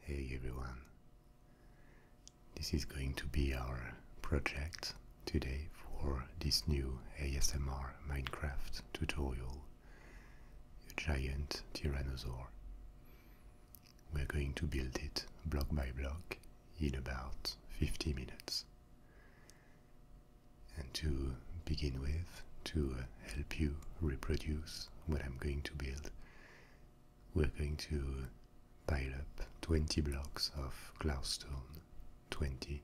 Hey everyone. This is going to be our project today for this new ASMR Minecraft tutorial, a giant tyrannosaur. We're going to build it block by block in about 50 minutes. And to begin with, to help you reproduce what I'm going to build, we're going to pile up 20 blocks of glowstone, 20.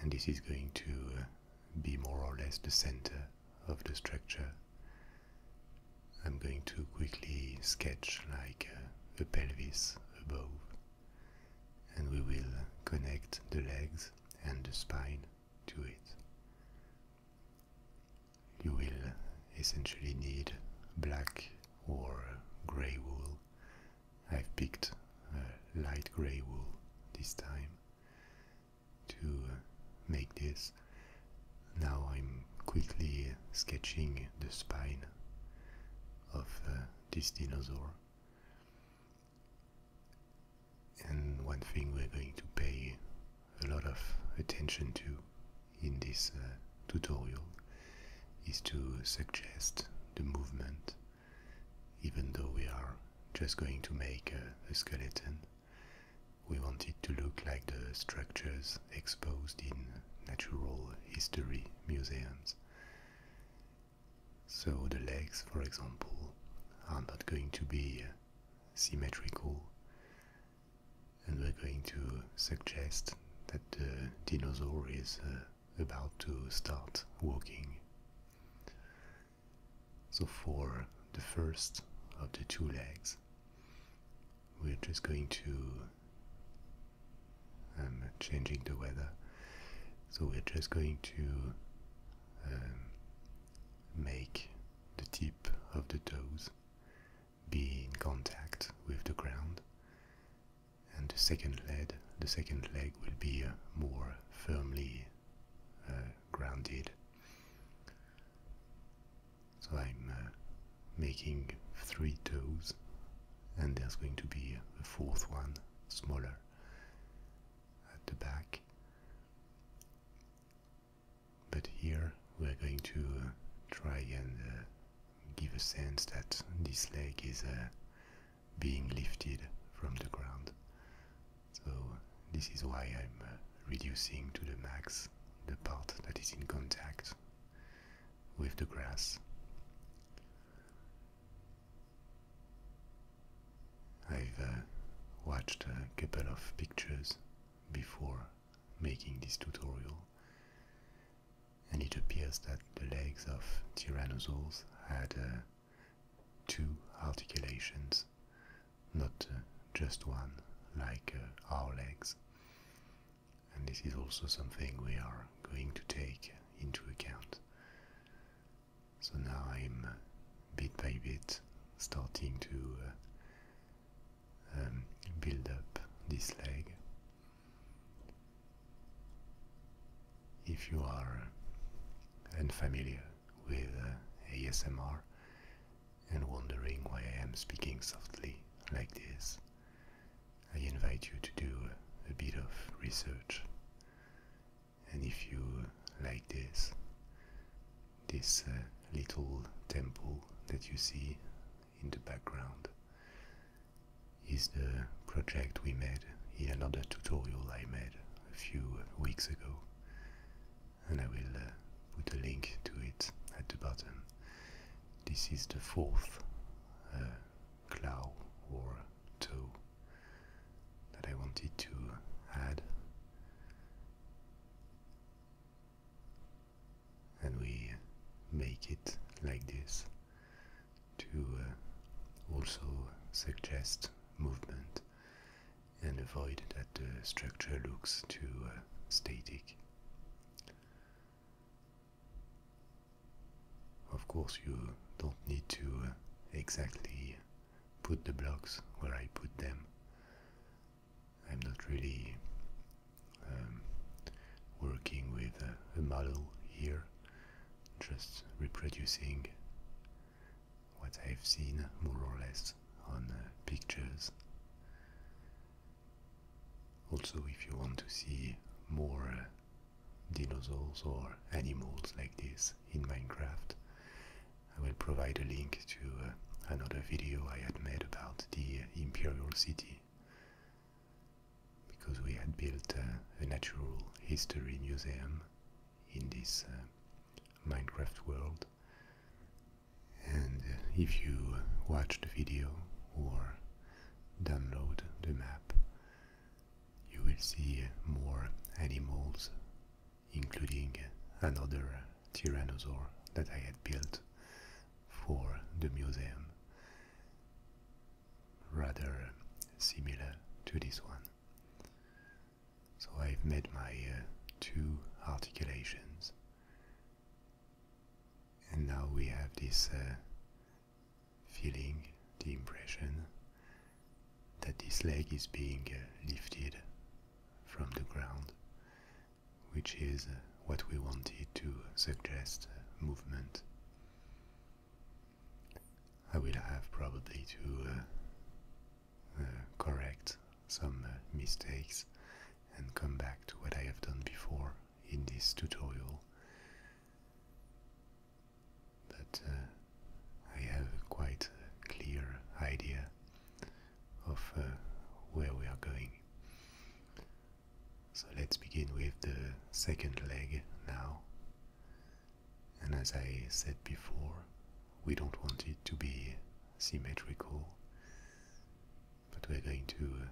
And this is going to uh, be more or less the center of the structure. I'm going to quickly sketch like uh, a pelvis above. And we will connect the legs and the spine to it. You will essentially need black or grey wool. I've picked light grey wool this time to uh, make this. Now I'm quickly sketching the spine of uh, this dinosaur and one thing we're going to pay a lot of attention to in this uh, tutorial is to suggest the movement, even though we are just going to make a skeleton. We want it to look like the structures exposed in natural history museums. So the legs, for example, are not going to be uh, symmetrical, and we're going to suggest that the dinosaur is uh, about to start walking. So for the first of the two legs, we're just going to I'm um, changing the weather. So we're just going to um, make the tip of the toes be in contact with the ground, and the second leg, the second leg will be uh, more firmly uh, grounded. So I'm uh, making three toes, and there's going to be a fourth one, smaller, at the back. But here we're going to uh, try and uh, give a sense that this leg is uh, being lifted from the ground. So this is why I'm reducing to the max the part that is in contact with the grass. I've watched a couple of pictures before making this tutorial, and it appears that the legs of tyrannosaurs had uh, two articulations, not uh, just one like uh, our legs. And this is also something we are going to take into account. So now I'm bit by bit starting to um, build up this leg. If you are unfamiliar with uh, ASMR and wondering why I am speaking softly like this, I invite you to do a bit of research. And if you like this, this uh, little temple that you see in the background is the project we made in another tutorial I made a few weeks ago, and I will uh, put a link to it at the bottom. This is the fourth uh, or toe that I wanted to add and we make it like this to uh, also suggest movement and avoid that the uh, structure looks too uh, static. Of course, you don't need to exactly put the blocks where I put them. I'm not really um, working with a, model here, just reproducing what I've seen more or less on uh, pictures. Also, if you want to see more uh, dinosaurs or animals like this in Minecraft, I will provide a link to uh, another video I had made about the uh, imperial city because we had built uh, a natural history museum in this Minecraft world. And if you watch the video or download the map, you will see more animals including another tyrannosaur that I had built for the museum, rather similar to this one. So I've made my uh, two articulations. And now we have this uh, feeling, the impression that this leg is being uh, lifted from the ground which is uh, what we wanted to suggest uh, movement. I will have probably to uh, correct some mistakes and come back to what I have done before in this tutorial. But I have a quite clear idea of uh, where we are going. So let's begin with the second leg now. And as I said before, we don't want it to be symmetrical, but we're going to uh,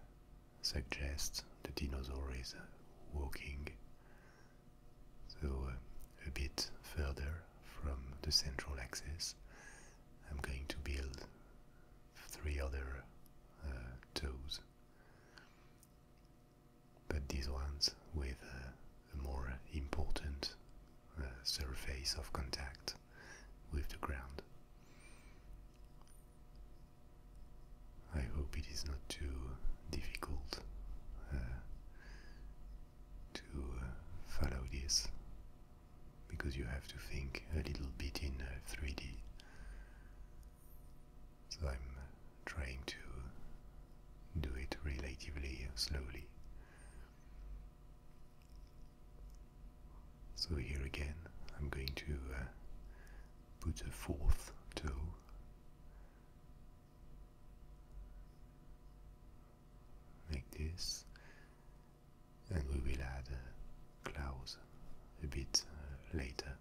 suggest the dinosaur is uh, walking, so a bit further from the central axis I'm going to build three other uh, toes, but these ones with a more important uh, surface of contact with the ground. I hope it is not too difficult uh, to follow this because you have to think a little bit in 3D. Uh, so I'm uh, trying to do it relatively slowly. So here again, I'm going to uh, put a fourth toe. Like this, and we will add uh, Klaus a bit uh, later.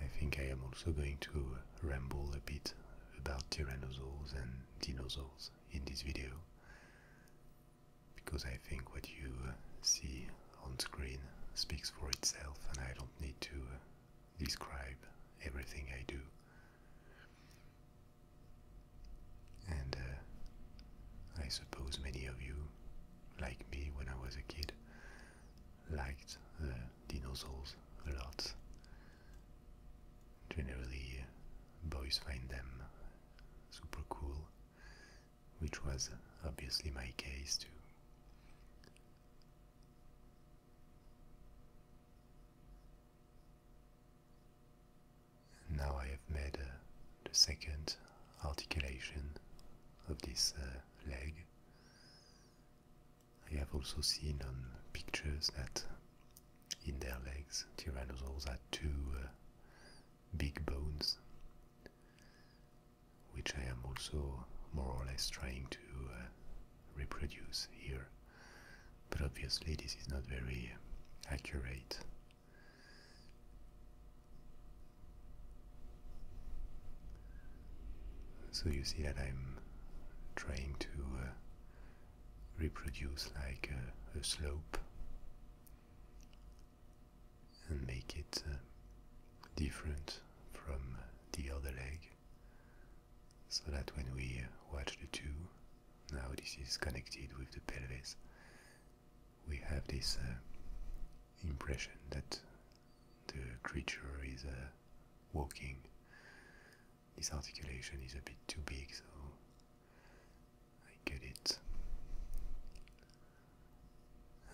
I think I am also going to uh, ramble a bit about tyrannosaurs and dinosaurs in this video because I think what you uh, see on screen speaks for itself and I don't need to describe everything I do. And uh, I suppose many of you, like me when I was a kid, liked the dinosaurs a lot. Generally, uh, boys find them super cool, which was obviously my case too. And now I have made the second articulation of this uh, leg. I have also seen on pictures that in their legs tyrannosaurs had two uh, big bones, which I am also more or less trying to uh, reproduce here. But obviously, this is not very accurate. So you see that I'm trying to uh, reproduce like a, slope and make it uh, different from the other leg so that when we watch the two, now this is connected with the pelvis, we have this uh, impression that the creature is uh, walking. This articulation is a bit too big, so I get it.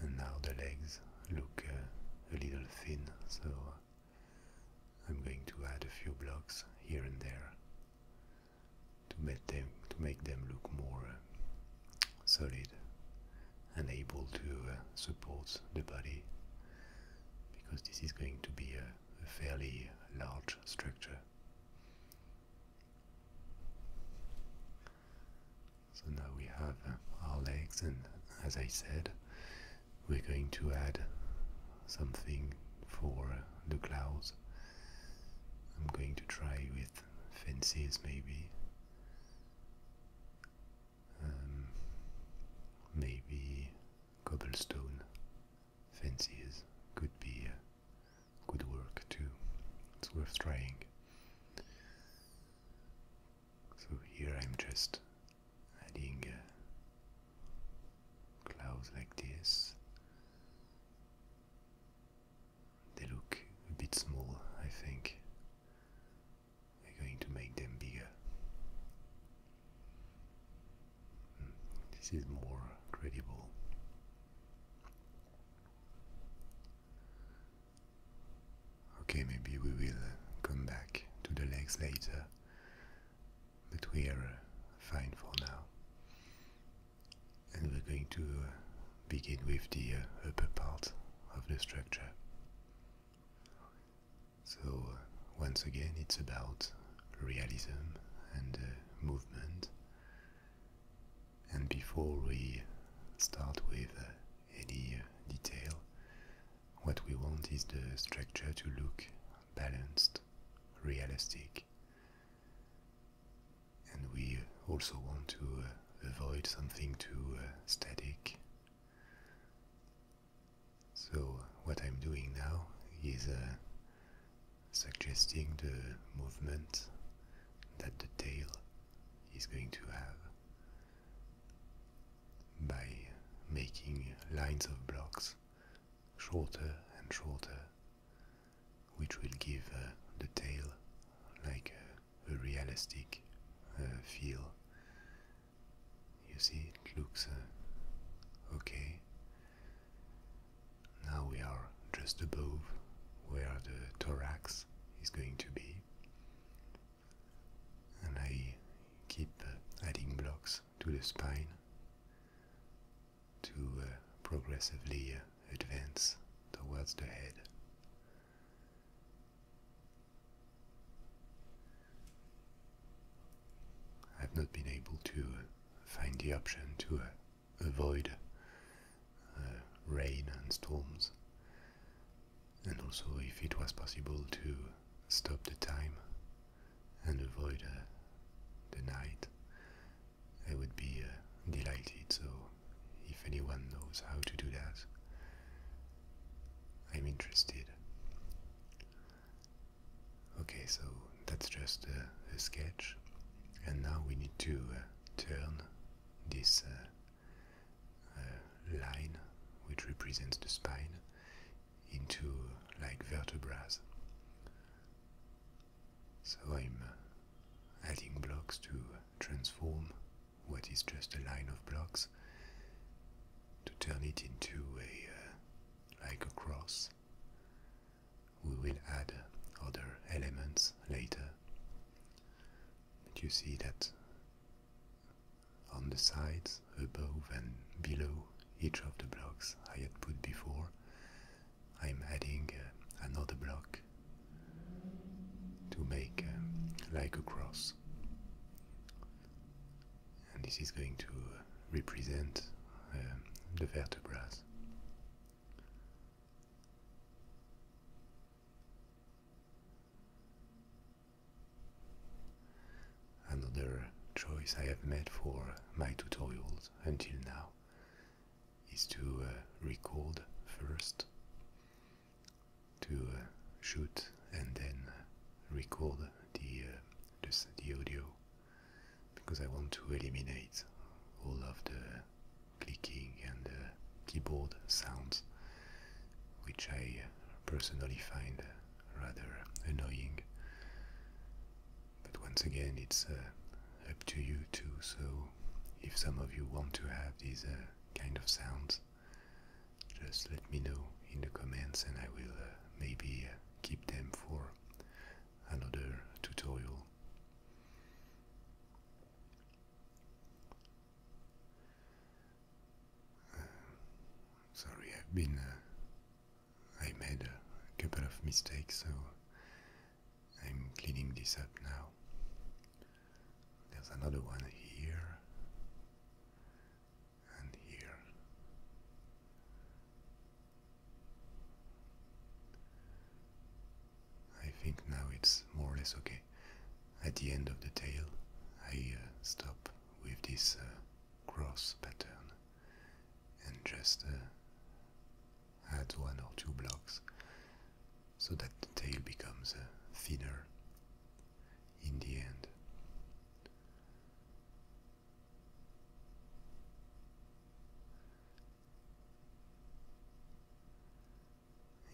And now the legs look uh, a little thin, so I'm going to add a few blocks here and there to make them, to make them look more uh, solid and able to uh, support the body because this is going to be a fairly large structure. So now we have uh, our legs and as I said we're going to add something for the clouds. I'm going to try with fences maybe. Um, maybe cobblestone fences could be uh, good work too. It's worth trying. So here I'm just adding clouds like this. They look a bit small, I think. We're going to make them bigger. Hmm, this is more credible. Okay, maybe we will uh, come back to the legs later but we are uh, fine for now. And we're going to uh, begin with the uh, upper part of the structure. So, once again, it's about realism and movement. And before we start with any detail, what we want is the structure to look balanced, realistic. And we also want to uh, avoid something too uh, static. So, what I'm doing now is uh, suggesting the movement that the tail is going to have by making lines of blocks shorter and shorter, which will give uh, the tail like a, realistic uh, feel. You see, it looks uh, okay. Now we are just above where the thorax is going to be, and I keep adding blocks to the spine to uh, progressively uh, advance towards the head. I've not been able to uh, find the option to avoid rain and storms, and also if it was possible to stop the time and avoid the night, I would be uh, delighted. So, if anyone knows how to do that, I'm interested. Okay, so that's just uh, a, sketch, and now we need to uh, turn this line, which represents the spine, into like vertebrae. So I'm uh, adding blocks to transform what is just a line of blocks to turn it into a uh, like a cross. We will add other elements later. But you see that on the sides above and below each of the blocks I had put before, I'm adding uh, another block to make uh, like a cross. And this is going to uh, represent the vertebrae. Another choice I have made for my tutorials until now is to uh, record first, to uh, shoot and then record the, uh, the audio because I want to eliminate all of the clicking and keyboard sounds which I uh, personally find rather annoying. But once again, it's uh, up to you too, so if some of you want to have these uh, kind of sounds, just let me know in the comments and I will uh, maybe keep them for another tutorial. sorry, I've been I made a couple of mistakes, so I'm cleaning this up now. There's another one here and here. I think now it's more or less okay. At the end of the tail, I uh, stop with this uh, cross pattern and just uh, add one or two blocks so that the tail becomes uh, thinner in the end.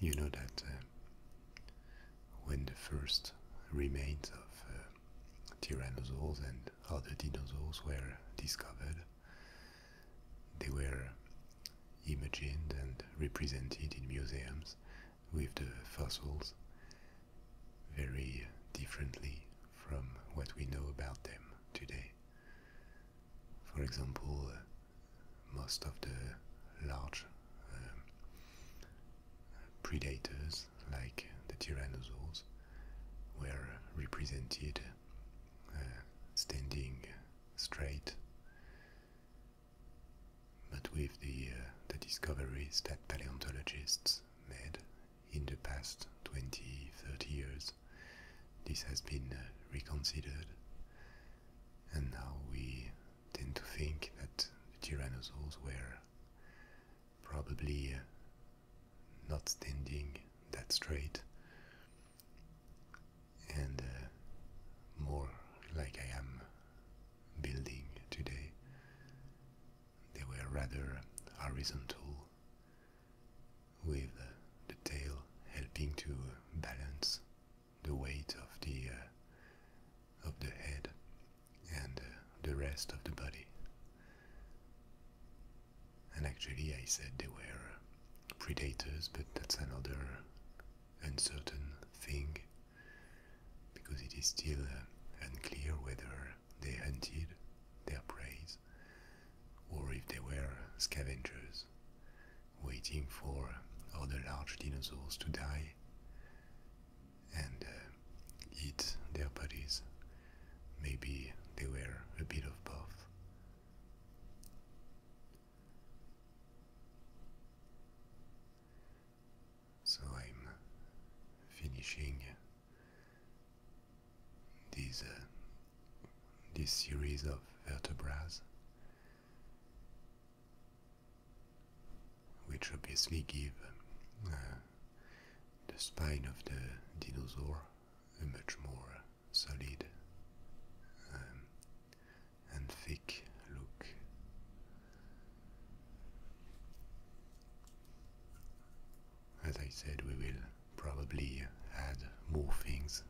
You know that uh, when the first remains of uh, tyrannosaurs and and how the dinosaurs were discovered. They were imagined and represented in museums with the fossils very differently from what we know about them today. For example, uh, most of the large um, predators like the tyrannosaurs were represented uh, standing straight. But with the, uh, the discoveries that paleontologists made in the past 20 30 years, this has been uh, reconsidered, and now we tend to think that the tyrannosaurs were probably not standing that straight, and uh, more like I am building today. They were rather horizontal, with uh, the tail helping to balance the weight of the uh, of the head and uh, the rest of the body. And actually, I said they were uh, predators, but that's another uncertain thing because it is still uh, unclear whether they hunted their prey or if they were scavengers waiting for other large dinosaurs to die and uh, eat their bodies. Maybe they were a bit of both. So I'm finishing these, uh, this series of vertebrae, which obviously give uh, the spine of the dinosaur, a much more solid um, and thick look. As I said, we will probably add more things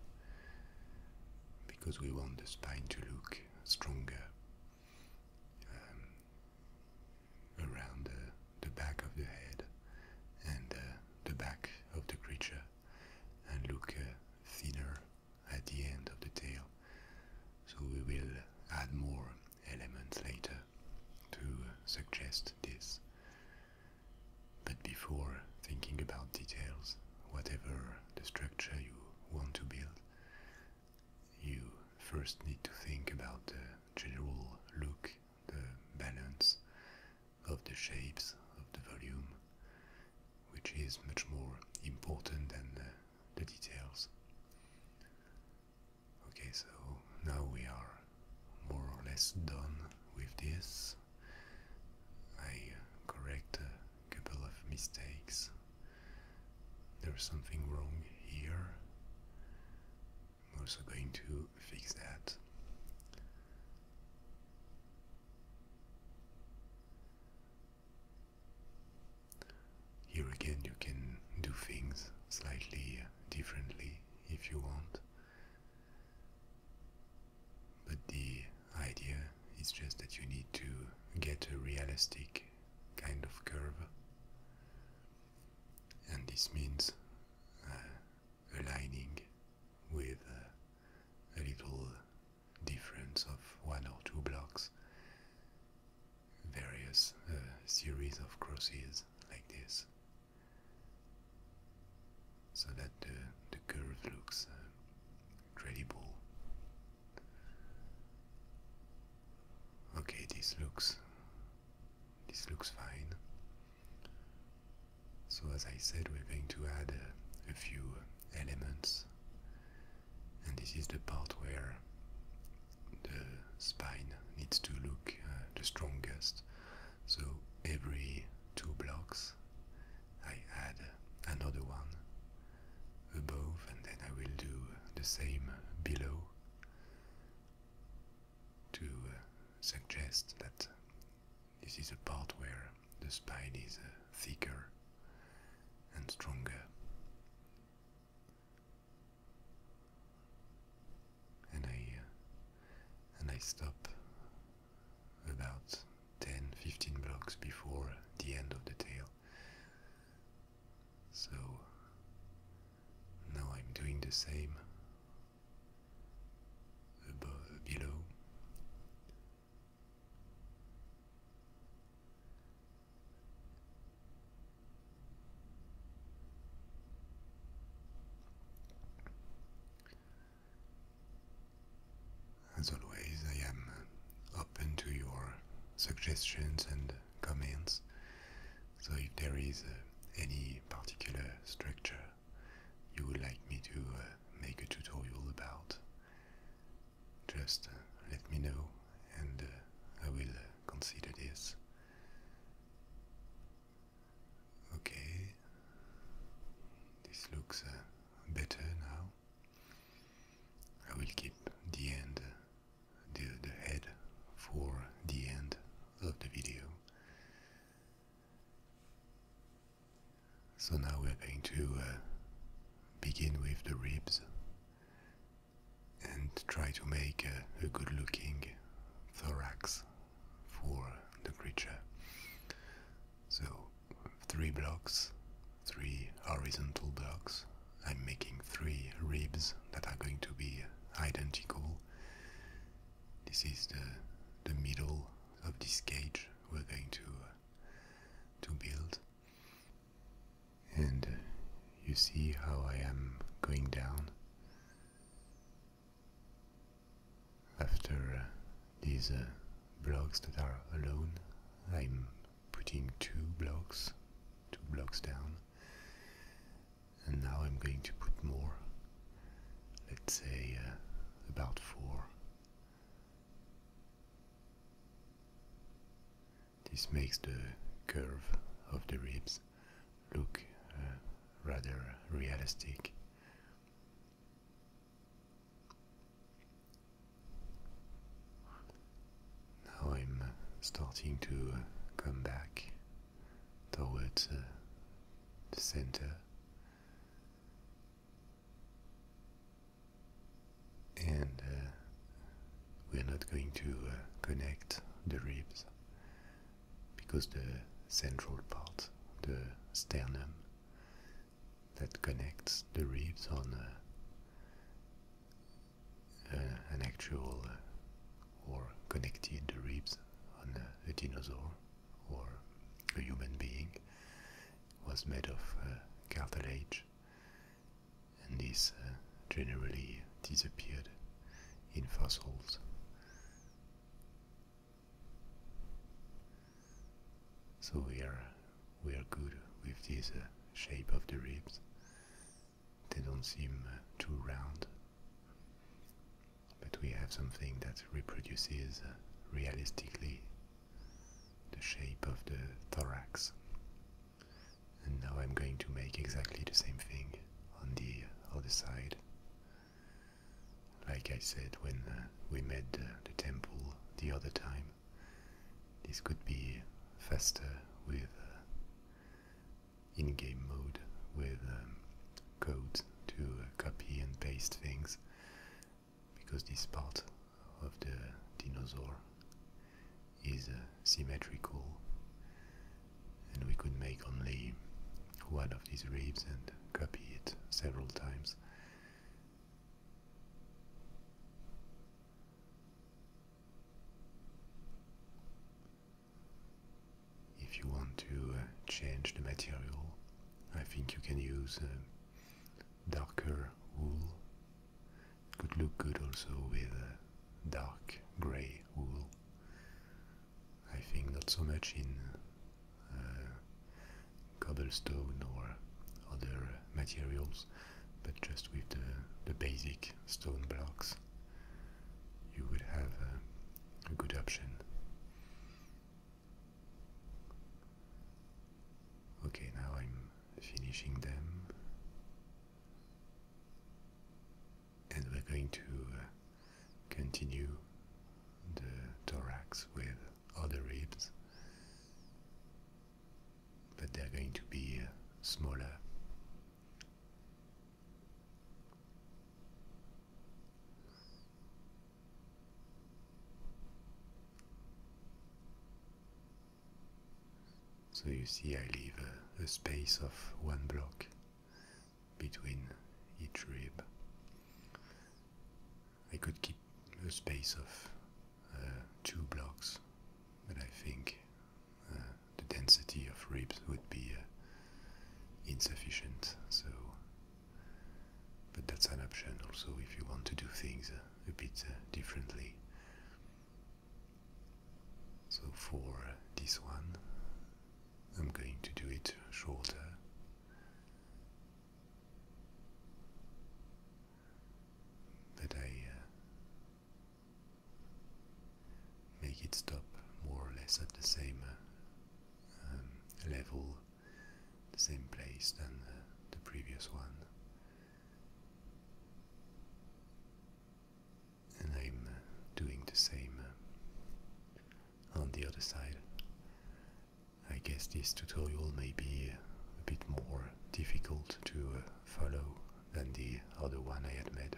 because we want the spine to look stronger. Um, around uh, the back of the head and uh, the back of the creature and look uh, thinner at the end of the tail. So we will add more elements later to uh, suggest this. But before thinking about details, whatever the structure you want to build, you first need to think about the general look the balance of the shapes of the volume, which is much more important than the details. Okay, so now we are more or less done with this. I uh, correct a couple of mistakes. There's something wrong here. I'm also going to fix that. Here again, you can do things slightly differently if you want, but the idea is just that you need to get a realistic kind of curve and this means uh, aligning with uh, a little difference of one or two blocks, various uh, series of crosses like this, so that the, the curve looks uh, credible. Okay, this looks this looks fine. So as I said, we're going to add a, few elements. And this is the part where the spine needs to look uh, the strongest. So every two blocks I add another one above and then I will do the same below to uh, suggest that this is a part where the spine is uh, thicker and stronger. And I uh, and I stop about 10-15 blocks before the end of the tail. So now I'm doing the same below. As always, I am open to your suggestions and comments so if there is uh, any particular structure you would like me to uh, make a tutorial about, just uh, let me know and I will consider this. Okay, this looks better now. I will keep the end, the, the head for the end of the video. So now we're going to uh, begin with the ribs and try to make a good looking thorax for the creature. So, three blocks, three horizontal blocks. I'm making three ribs that are going to be identical this is the the middle of this cage we're going to uh, to build, and uh, you see how I am going down. After uh, these blocks that are alone, I'm putting two blocks, two blocks down, and now I'm going to put more, let's say uh, about four. This makes the curve of the ribs look uh, rather realistic. Now I'm uh, starting to come back towards uh, the center. And uh, we're not going to uh, connect the ribs because the central part, the sternum, that connects the ribs on an actual or connected the ribs on a dinosaur or a human being was made of uh, cartilage and this uh, generally disappeared in fossils. So we are, we are good with this uh, shape of the ribs. They don't seem uh, too round but we have something that reproduces uh, realistically the shape of the thorax. And now I'm going to make exactly the same thing on the other side. Like I said when uh, we made the temple the other time, this could be faster with uh, in-game mode with um, code to uh, copy and paste things because this part of the dinosaur is uh, symmetrical and we could make only one of these ribs and copy it several times. If you want to uh, change the material, I think you can use uh, darker wool. It could look good also with uh, dark grey wool. I think not so much in cobblestone or other materials, but just with the, basic stone blocks, you would have a good option. Okay, now I'm finishing them. And we're going to uh, continue the thorax with other ribs, but they're going to be uh, smaller so you see, I leave a, space of one block between each rib. I could keep a space of uh, two blocks, but I think uh, the density of ribs would be uh, insufficient. So, but that's an option also if you want to do things a bit uh, differently. So for uh, this one, I'm going to do it shorter. But I uh, make it stop more or less at the same um, level, the same place than the previous one. And I'm uh, doing the same uh, on the other side. I guess this tutorial may be uh, a bit more difficult to follow than the other one I had made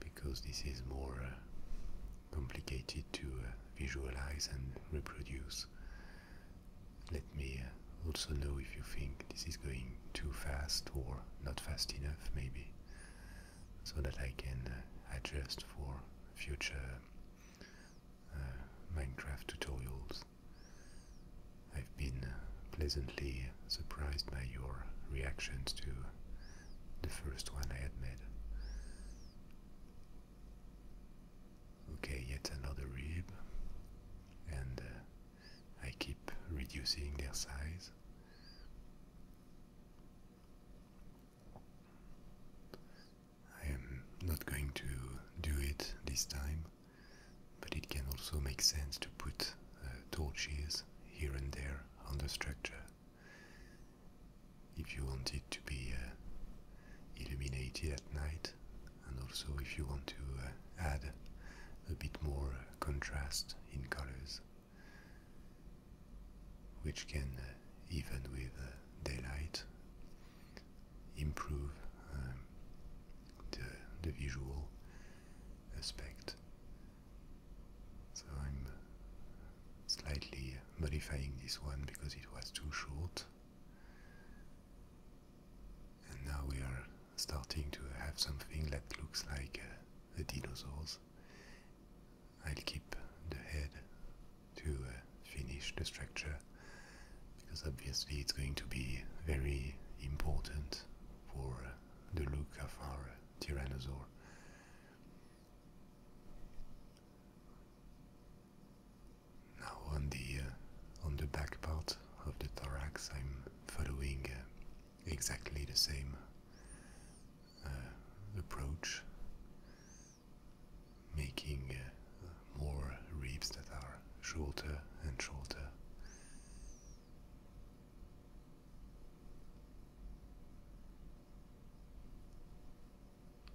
because this is more uh, complicated to uh, visualize and reproduce. Let me uh, also know if you think this is going too fast or not fast enough, maybe, so that I can adjust for future Minecraft tutorials. I've been pleasantly surprised by your reactions to the first one I had made. Okay, yet another rib, and uh, I keep reducing their size. I am not going to do it this time, but it can also make sense to put uh, torches here and there on the structure if you want it to be uh, illuminated at night, and also if you want to uh, add a bit more uh, contrast in colors, which can, even with daylight, improve um, the visual aspect so I'm slightly modifying this one because it was too short. And now we are starting to have something that looks like uh, a the I'll keep the head to uh, finish the structure because obviously it's going to be very important for uh, the look of our tyrannosaur. Now on the uh, on the back part of the thorax, I'm following uh, exactly the same uh, approach, making more ribs that are shorter and shorter.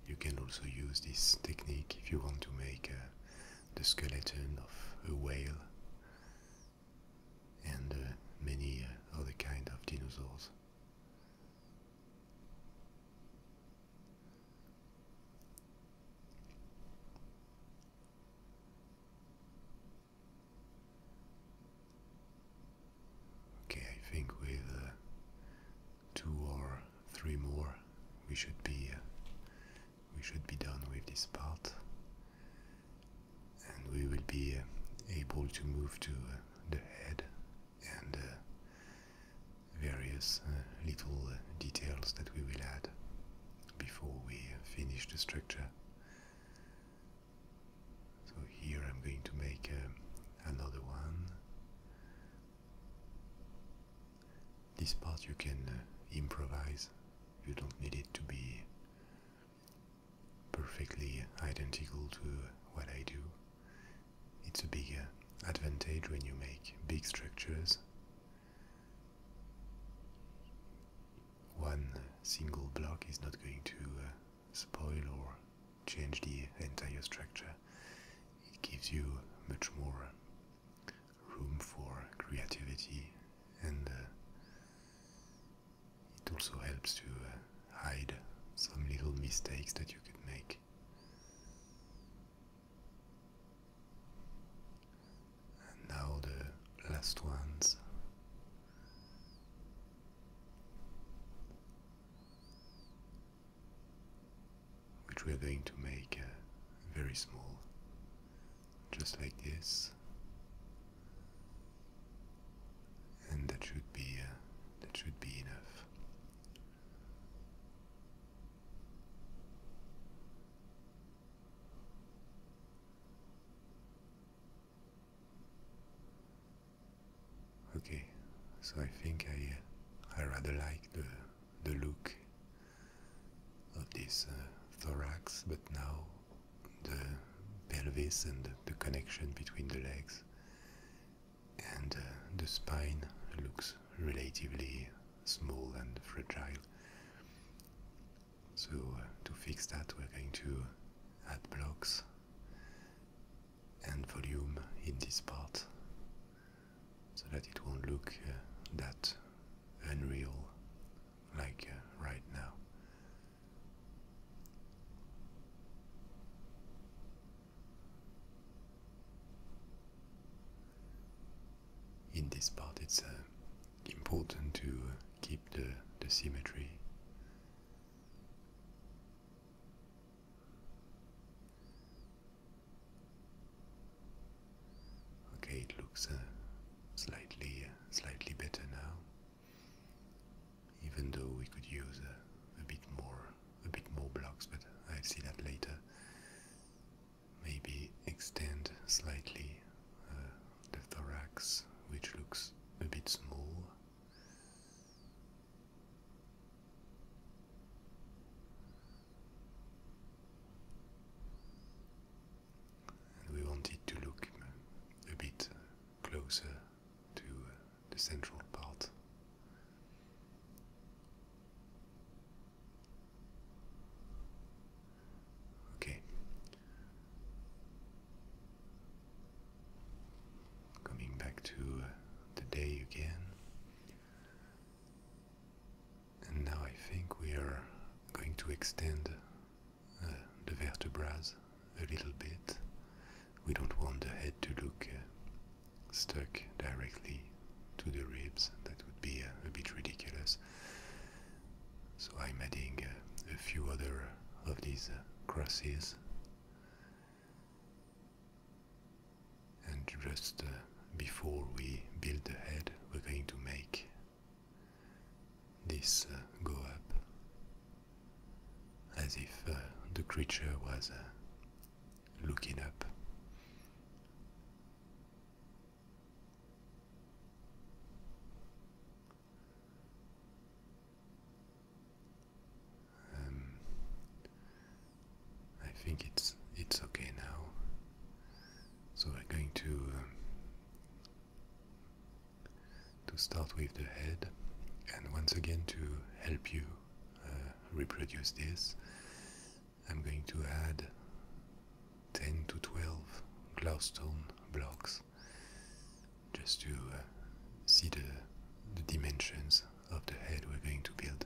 You can also use this technique if you want to make the skeleton of a whale and uh, many uh, other kind of dinosaurs. Okay, I think with uh, two or three more, we should be uh, we should be done with this part, and we will be uh, able to move to the head and various little details that we will add before we finish the structure. So here I'm going to make um, another one. This part you can uh, improvise, you don't need it to be perfectly identical to what I do. It's a bigger uh, advantage when you make big structures. One single block is not going to uh, spoil or change the entire structure, it gives you much more room for creativity and uh, it also helps to uh, hide some little mistakes that you could make. And now the last ones which we are going to make uh, very small, just like this. And that should be uh, that should be enough. Okay, so I think I uh, I rather like the the look of this uh, thorax, but now the pelvis and the connection between the legs and uh, the spine looks relatively small and fragile. So to fix that, we're going to add blocks and volume in this part so that it won't look uh, that unreal like uh, right now. In this part, it's uh, important to keep the symmetry Okay, it looks uh, slightly, uh, slightly better now. Even though we could use uh, a bit more, a bit more blocks, but I'll see that later. Maybe extend slightly the thorax, which looks a bit small we wanted to look a bit closer to uh, the central part. Okay. Coming back to uh, the day again. And now I think we are going to extend uh, the vertebrae a little bit. We don't want the head to look uh, stuck directly to the ribs, that would be a bit ridiculous. So I'm adding a few other of these crosses and just uh, before we build the head, we're going to make this uh, go up as if uh, the creature was looking up. Um, I think it's it's okay now. So I'm going to um, to start with the head, and once again to help you uh, reproduce this, I'm going to add 10 to 12 glowstone blocks just to uh, see the, the dimensions of the head we're going to build.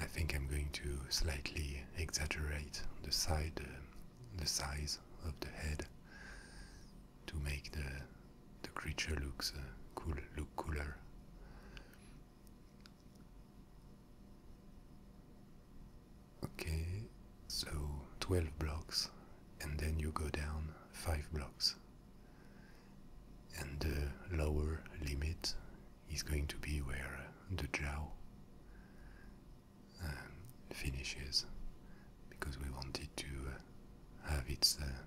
I think I'm going to slightly exaggerate the side, um, the size of the head to make the the creature looks uh, cool, look cooler. Okay, so 12 blocks and then you go down five blocks. And the lower limit is going to be where the jaw um, finishes, because we wanted to uh, have its uh,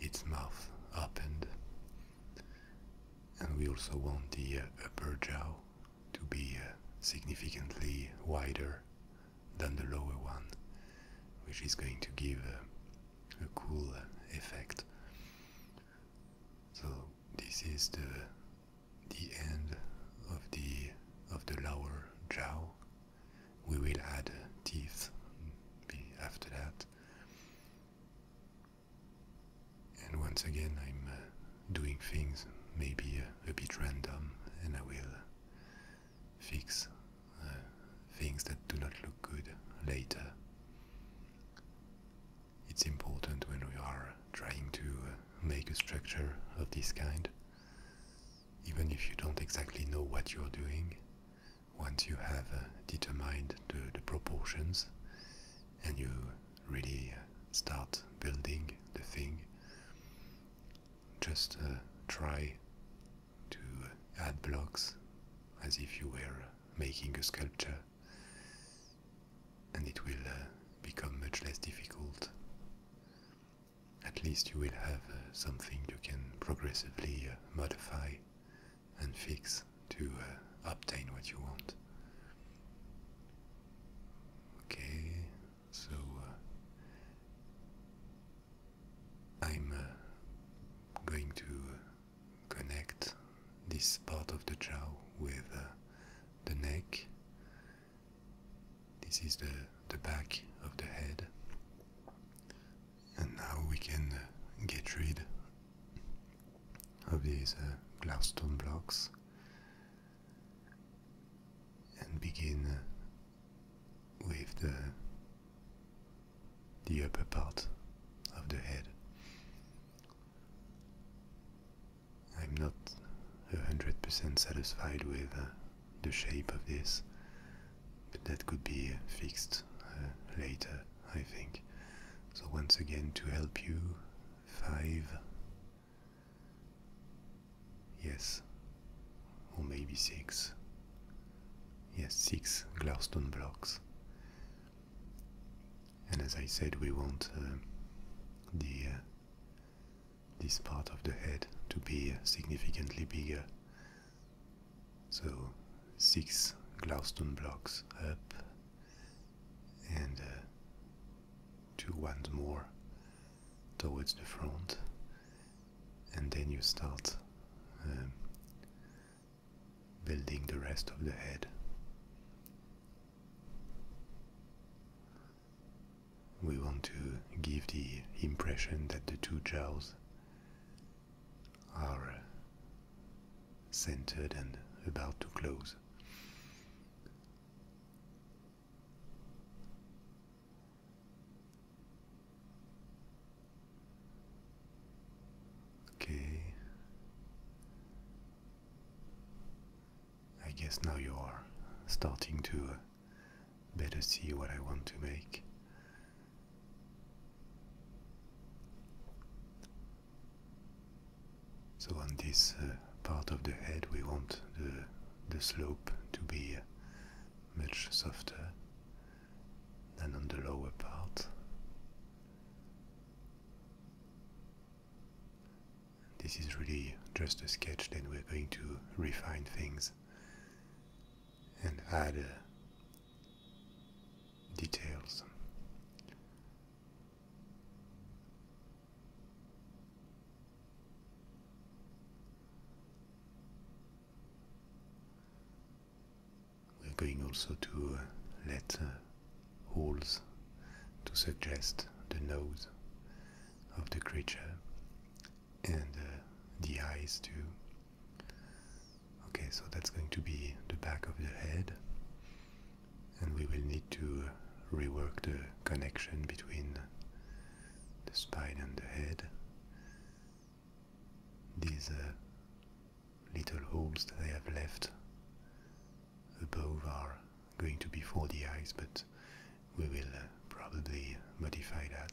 its mouth opened, and we also want the uh, upper jaw to be significantly wider than the lower one, which is going to give a, cool uh, effect. So this is the the end of the of the lower jaw. We will add teeth after that. And once again, I'm uh, doing things maybe a bit random, and I will fix uh, things that do not look good later. It's important when we are trying to uh, make a structure of this kind, even if you don't exactly know what you're doing. Once you have uh, determined the, proportions and you really start building the thing, just try to add blocks as if you were making a sculpture, and it will uh, become much less difficult. At least you will have uh, something you can progressively uh, modify and fix to obtain what you want. Okay, so I'm uh, going to uh, connect this part of the jaw with uh, the neck. This is the, the back of the head. And now we can get rid of these uh, glass stone blocks and begin with the the upper part of the head. I'm not a hundred percent satisfied with uh, the shape of this, but that could be fixed uh, later, I think. So once again, to help you, five Yes. Or maybe six. Yes, six Glowstone blocks. And as I said, we want uh, the uh, this part of the head to be significantly bigger. So six Glowstone blocks up and uh, two ones more towards the front and then you start um, building the rest of the head. We want to give the impression that the two jaws are uh, centered and about to close. Okay. I guess now you are starting to uh, better see what I want to make. So on this uh, part of the head we want the, the slope to be uh, much softer than on the lower part. This is really just a sketch, then we're going to refine things and add uh, details. We're going also to uh, let holes uh, to suggest the nose of the creature and uh, the eyes too. Okay, so that's going to be the back of the head, and we will need to rework the connection between the spine and the head these uh, little holes that they have left above are going to be for the eyes, but we will uh, probably modify that.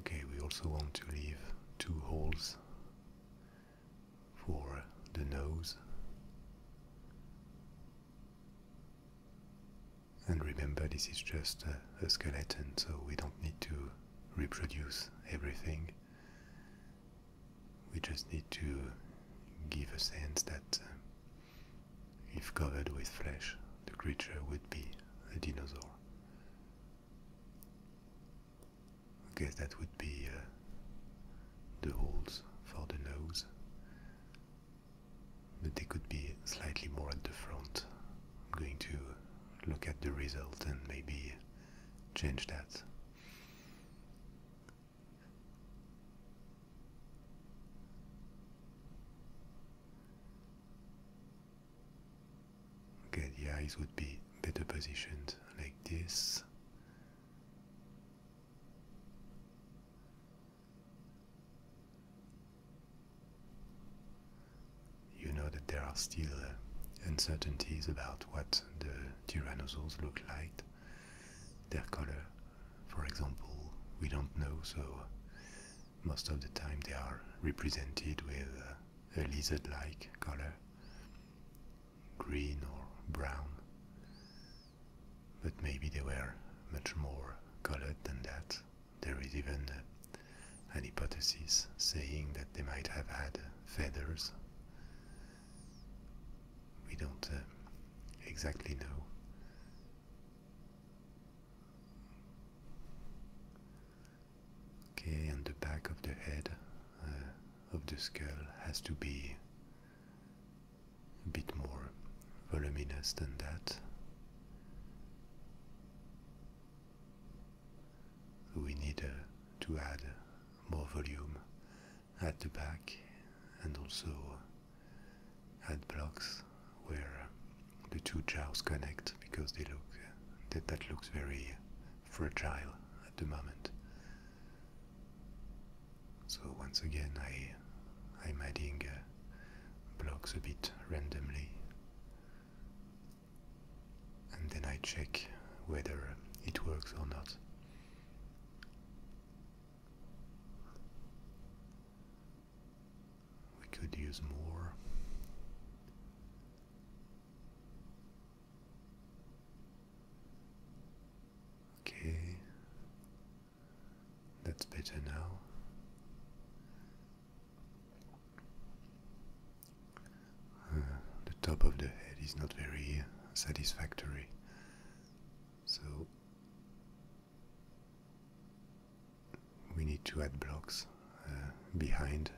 Okay, we also want to leave two holes for the nose. And remember, this is just a, skeleton, so we don't need to reproduce everything. We just need to give a sense that uh, if covered with flesh, the creature would be a dinosaur. I guess that would be uh, the holes for the nose but they could be slightly more at the front. I'm going to look at the result and maybe change that. Okay, the eyes would be better positioned like this. You know that there are still uncertainties about what the tyrannosaurs look like, their color. For example, we don't know, so most of the time they are represented with a lizard like color, green or brown. But maybe they were much more colored than that. There is even an hypothesis saying that they might have had feathers. We don't uh, exactly know. Okay, and the back of the head uh, of the skull has to be a bit more voluminous than that. We need uh, to add more volume at the back and also uh, add blocks where the two jars connect because they look uh, that, that looks very fragile at the moment. So once again, I, I'm adding blocks a bit randomly. And then I check whether it works or not. We could use more. Okay, that's better now. Uh, the top of the head is not very satisfactory. So we need to add blocks uh, behind.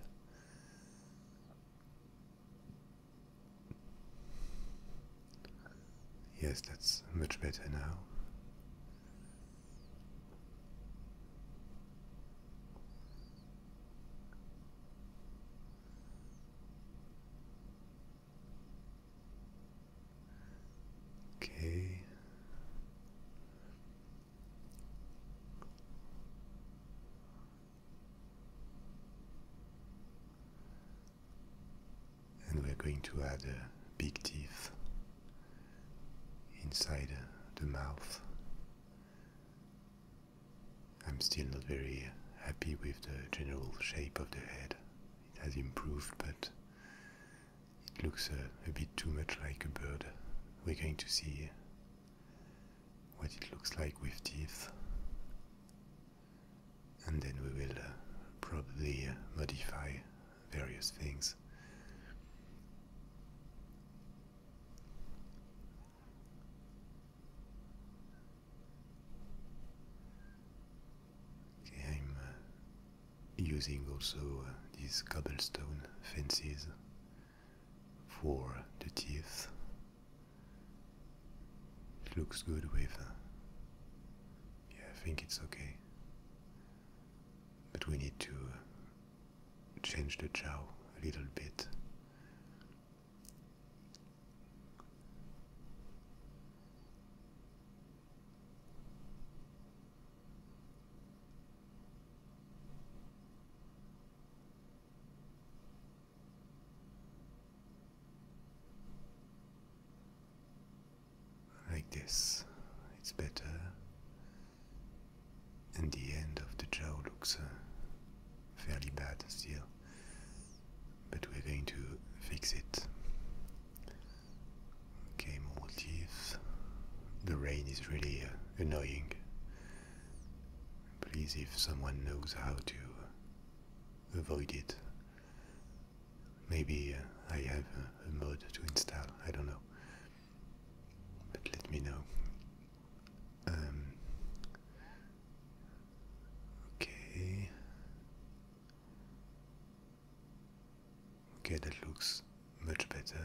Yes, that's much better now. Okay and we're going to add uh, big teeth inside the mouth. I'm still not very happy with the general shape of the head. It has improved, but it looks a bit too much like a bird. We're going to see what it looks like with teeth. And then we will uh, probably uh, modify various things. I'm uh, using also uh, these cobblestone fences for the teeth. It looks good with. Uh, yeah, I think it's okay but we need to change the chow a little bit. Like this, it's better. And the end of the jaw looks uh, fairly bad still, but we're going to fix it. Okay, more teeth. The rain is really uh, annoying. Please, if someone knows how to avoid it, Maybe uh, I have a, mode to install, I don't know. But let me know. Um, okay. Okay, that looks much better.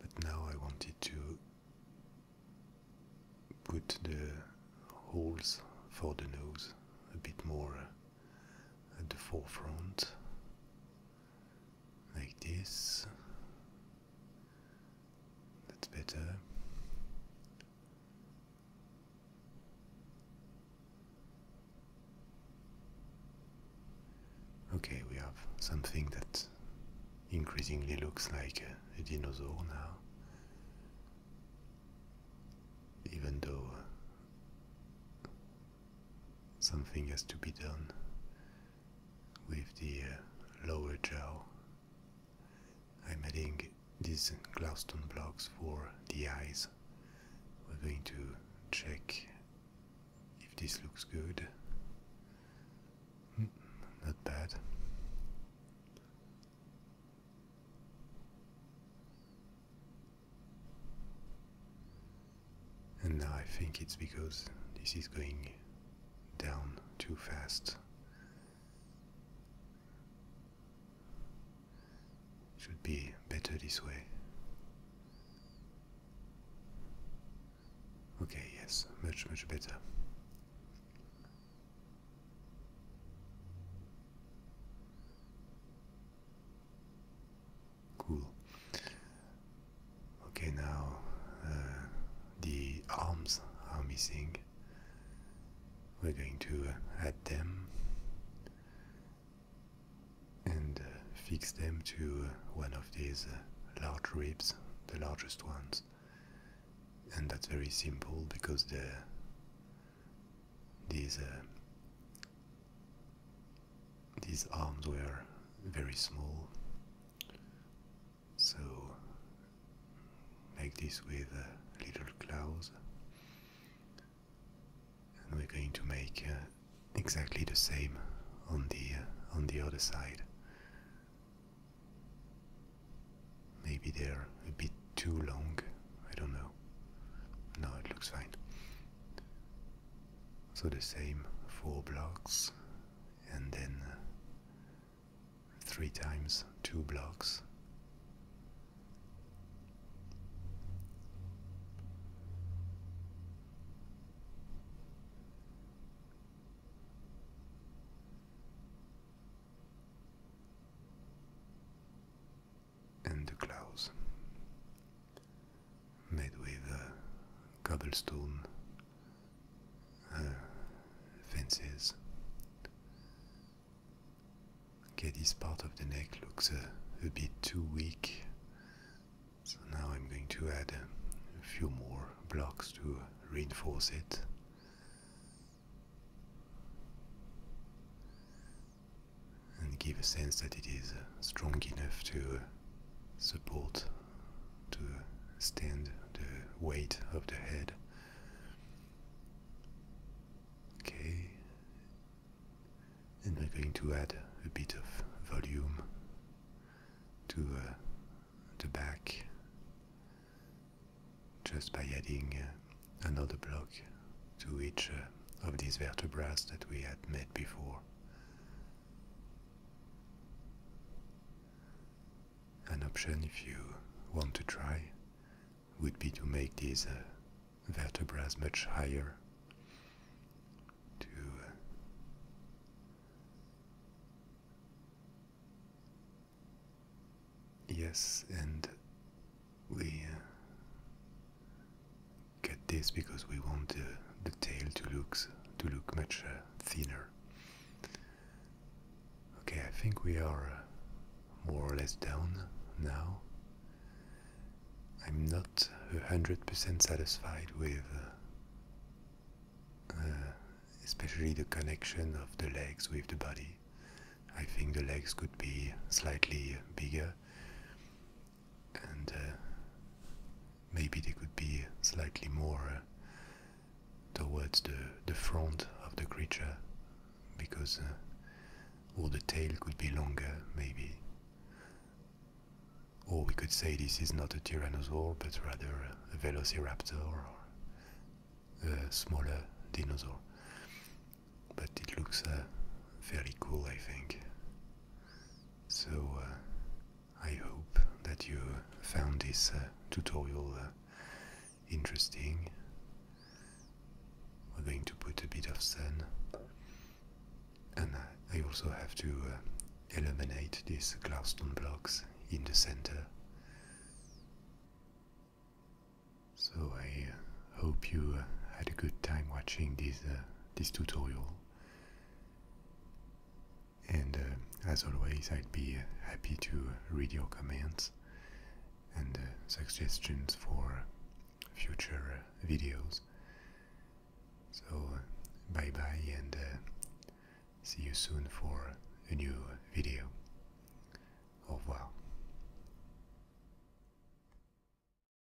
But now I wanted to put the holes for the nose a bit more. Uh, at the forefront, like this. That's better. Okay, we have something that increasingly looks like a, a dinosaur now, even though Something has to be done with the uh, lower jaw. I'm adding these glasstone blocks for the eyes. We're going to check if this looks good. Hmm, not bad. And now I think it's because this is going down too fast. Should be better this way. Okay, yes, much, much better. Cool. Okay, now uh, the arms are missing. We're going to uh, add them and uh, fix them to one of these large ribs, the largest ones. And that's very simple because the these, uh, these arms were very small, so like this with uh, little claws. And we're going to make uh, exactly the same on the uh, on the other side. Maybe they're a bit too long. I don't know. No, it looks fine. So the same four blocks and then uh, three times two blocks and the clouds, made with uh, cobblestone uh, fences. Okay, this part of the neck looks uh, a bit too weak, so now I'm going to add a few more blocks to reinforce it and give a sense that it is uh, strong enough to uh, support, to stand the weight of the head. Okay, and we're going to add a bit of volume to uh, the back just by adding another block to each uh, of these vertebrae that we had met before. An option, if you want to try, would be to make these uh, vertebrae much higher, to uh, Yes, and we Get this because we want the, the tail to look, to look much uh, thinner. Okay, I think we are uh, more or less down now. I'm not 100% satisfied with uh, especially the connection of the legs with the body. I think the legs could be slightly bigger and uh, maybe they could be slightly more uh, towards the, the front of the creature because uh, or the tail could be longer maybe or we could say this is not a tyrannosaur but rather a velociraptor or a smaller dinosaur but it looks very uh, cool I think so uh, I hope that you found this uh, tutorial uh, interesting. We're going to put a bit of sun, and I also have to uh, eliminate these glowstone blocks in the center. So I Hope you uh, had a good time watching this, uh, this tutorial. And uh, as always, I'd be happy to read your comments and suggestions for future videos. So, bye bye and see you soon for a new video. Au revoir.